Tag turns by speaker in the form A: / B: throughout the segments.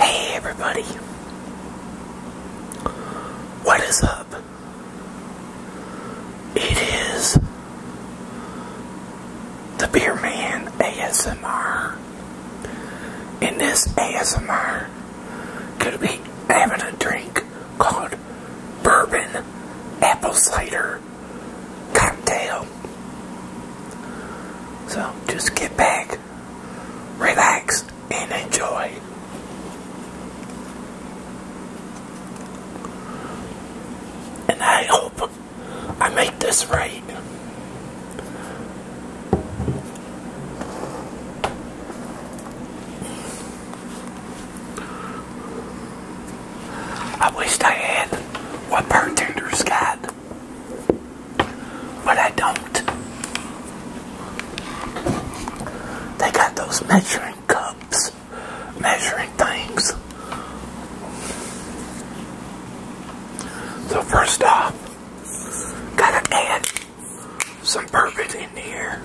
A: Hey everybody, what is up? It is the Beer Man ASMR. and this ASMR, going be having a drink called Bourbon Apple Cider Cocktail. So just get back, relax, and enjoy. And I hope I make this right. I wish I had what bartenders got but I don't. They got those measuring cups, measuring things. So first off, gotta add some bourbon in here.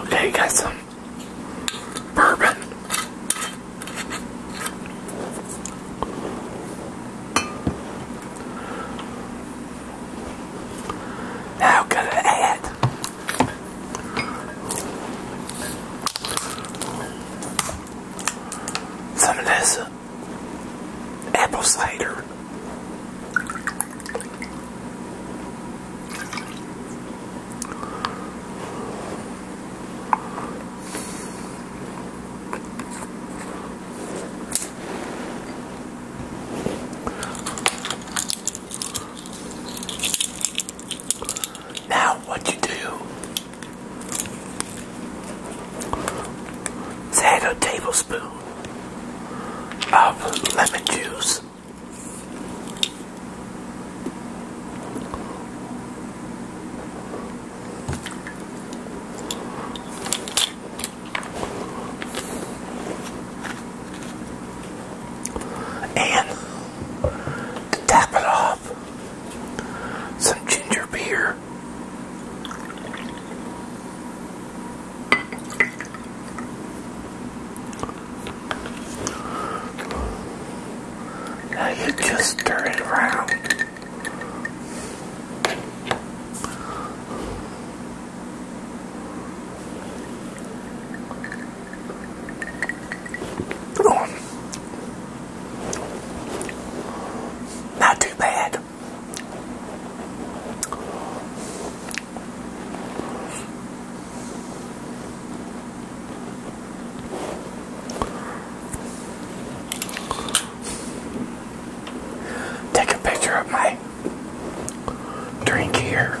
A: Okay, got some bourbon. How could it add? Some of this apple cider. Now, what you do Add a tablespoon of lemon juice. And to top it off, some ginger beer. Now you just stir it around. Oh. Not too bad. Take a picture of my drink here.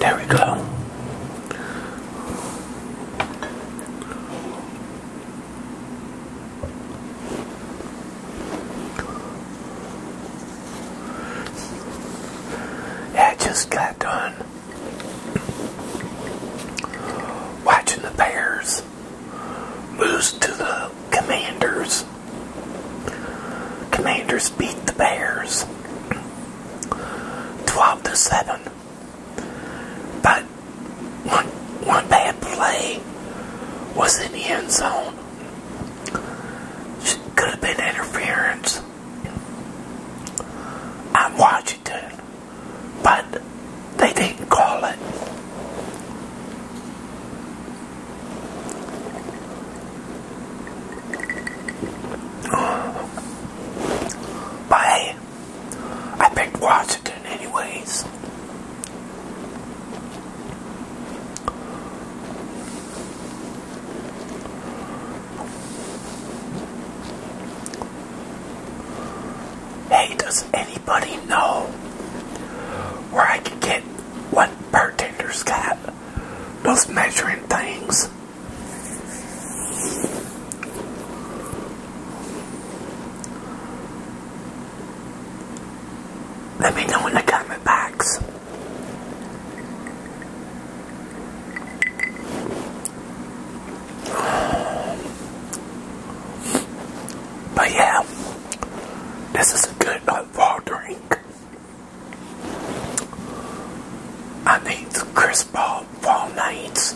A: There we go. I just got done watching the Bears lose to the Commanders. Commanders beat the Bears 12 to 7. But one, one bad play was in the end zone. Could have been interference on Washington, but they didn't call it. But I picked Washington anyways. Hey, does anybody know where I can get one bartender's got? those measuring things. Let me know in the comment box. But yeah, this is a good fall uh, drink. I need the crisp ball fall nights.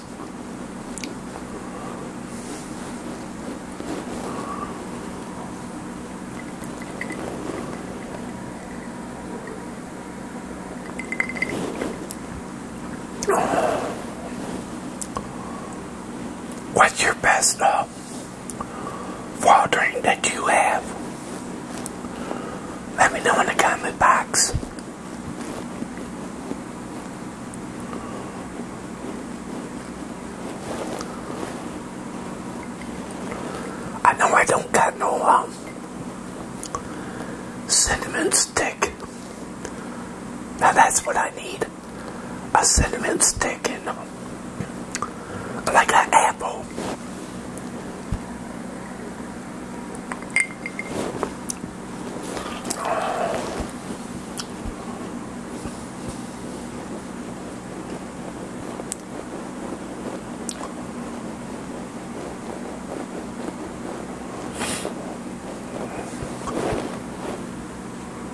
A: What's your best uh, uh, that you have. Let me know in the comment box. I know I don't got no um, cinnamon stick. Now that's what I need. A cinnamon stick and a like an apple.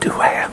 A: to have.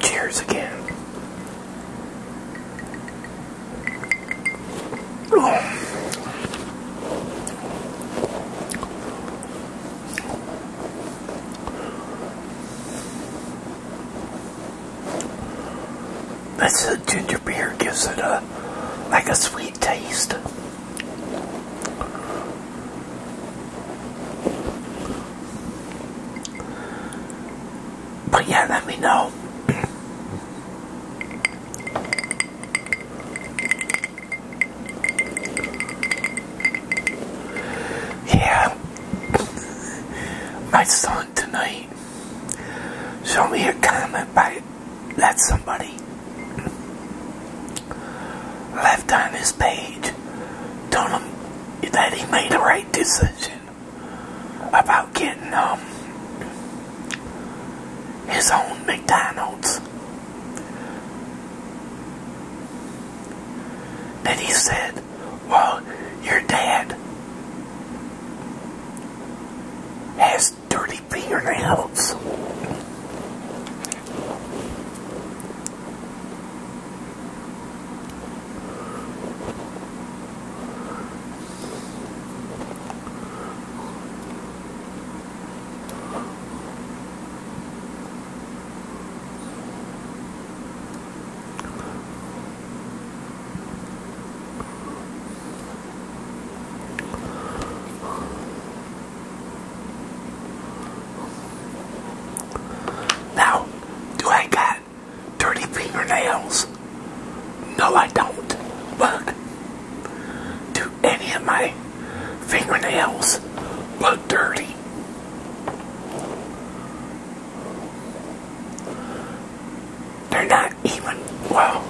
A: Cheers again. This ginger beer gives it a like a sweet taste. But yeah, let me know. yeah, my son tonight Show me a comment by let somebody left on his page telling him that he made the right decision about getting um, his own McDonald's. Then he said, well, your dad has dirty." my fingernails. Now, do I got dirty fingernails? No, I don't. Look, do any of my fingernails look dirty? They're not even, well,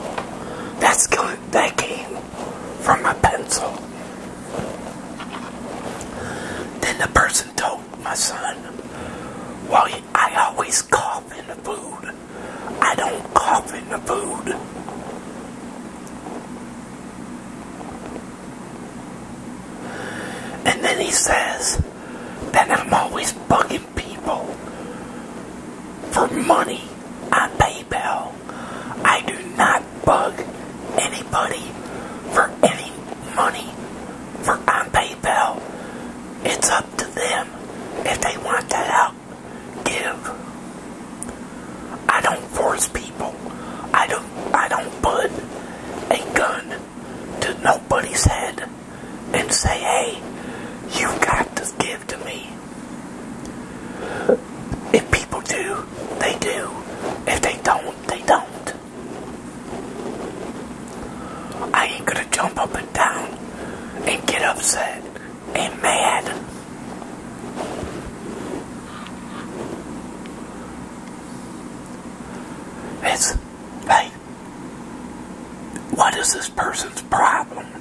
A: that's good, that game from my pencil. Then the person told my son, "Why I always cough in the food. I don't cough in the food. And then he says that I'm always bugging people for money I pay PayPal. I do not bug anybody for any money for on PayPal. It's up to them if they want to help give. I don't force people. I don't I don't put a gun to nobody's head and say, hey, you've got to give to me. If people do, they do. If they don't, they don't. I ain't gonna jump up and down and get upset and mad. It's like, what is this person's problem?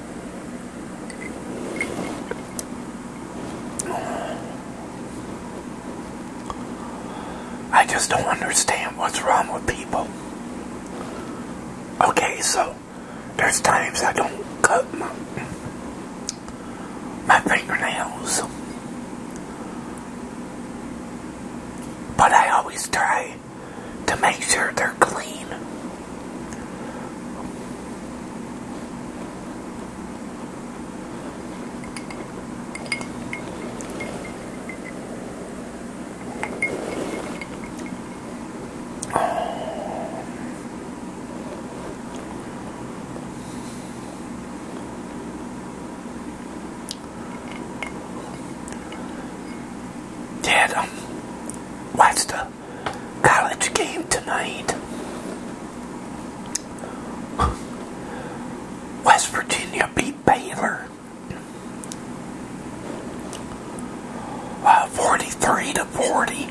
A: I just don't understand what's wrong with people. Okay, so there's times I don't cut my, my fingernails. But I always try to make sure they're clean. Yeah, um, watch the college game tonight. West Virginia beat Baylor 43 to 40.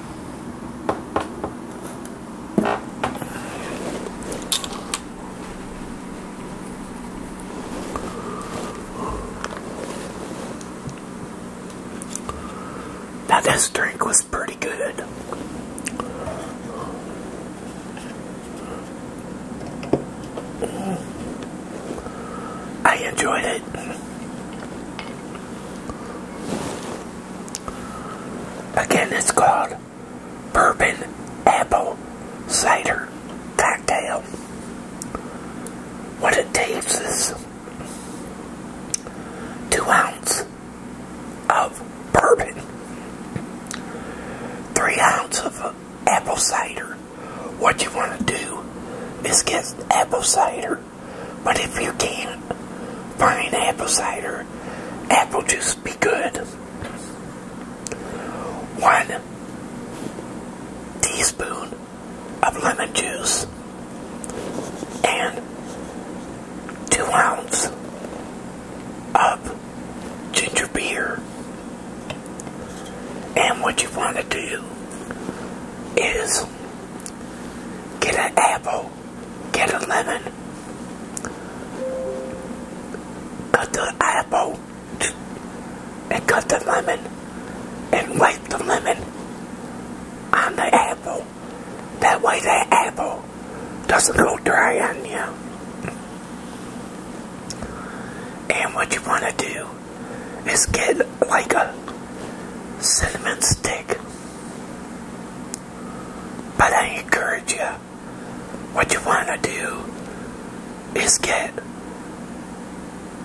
A: Now this drink was pretty good. I enjoyed it. Again, it's called Bourbon Apple Cider Cocktail. What it takes is two ounces of bourbon, three ounces of apple cider. What you want to do is get apple cider but if you can't find apple cider, apple juice be good. One teaspoon of lemon juice and two ounces of ginger beer. And what you want to do is Get an apple. Get a lemon. Cut the apple and cut the lemon and wipe the lemon on the apple. That way the apple doesn't go dry on you. And what you want to do is get like a cinnamon stick. But I encourage you, what you want to do is get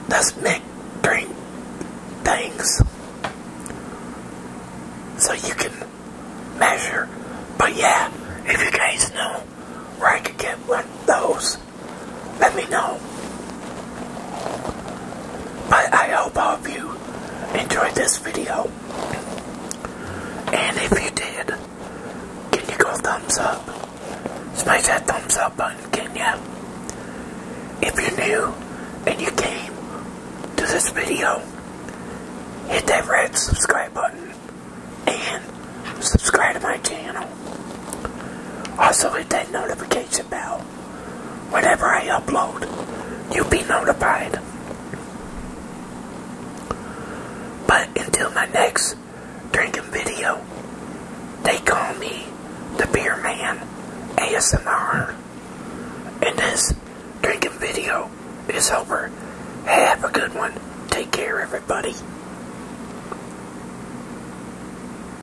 A: this mixed drink things so you can measure. But yeah, if you guys know where I could get one of those, let me know. But I hope all of you enjoyed this video. And if you did, can you go thumbs up? Smash that thumbs up button, can ya? If you're new and you came to this video, hit that red subscribe button and subscribe to my channel. Also hit that notification bell Whenever I upload, you'll be notified. But until my next drinking video, they call me the Beer Man ASMR. And this drinking video is over. Have a good one. Take care, everybody.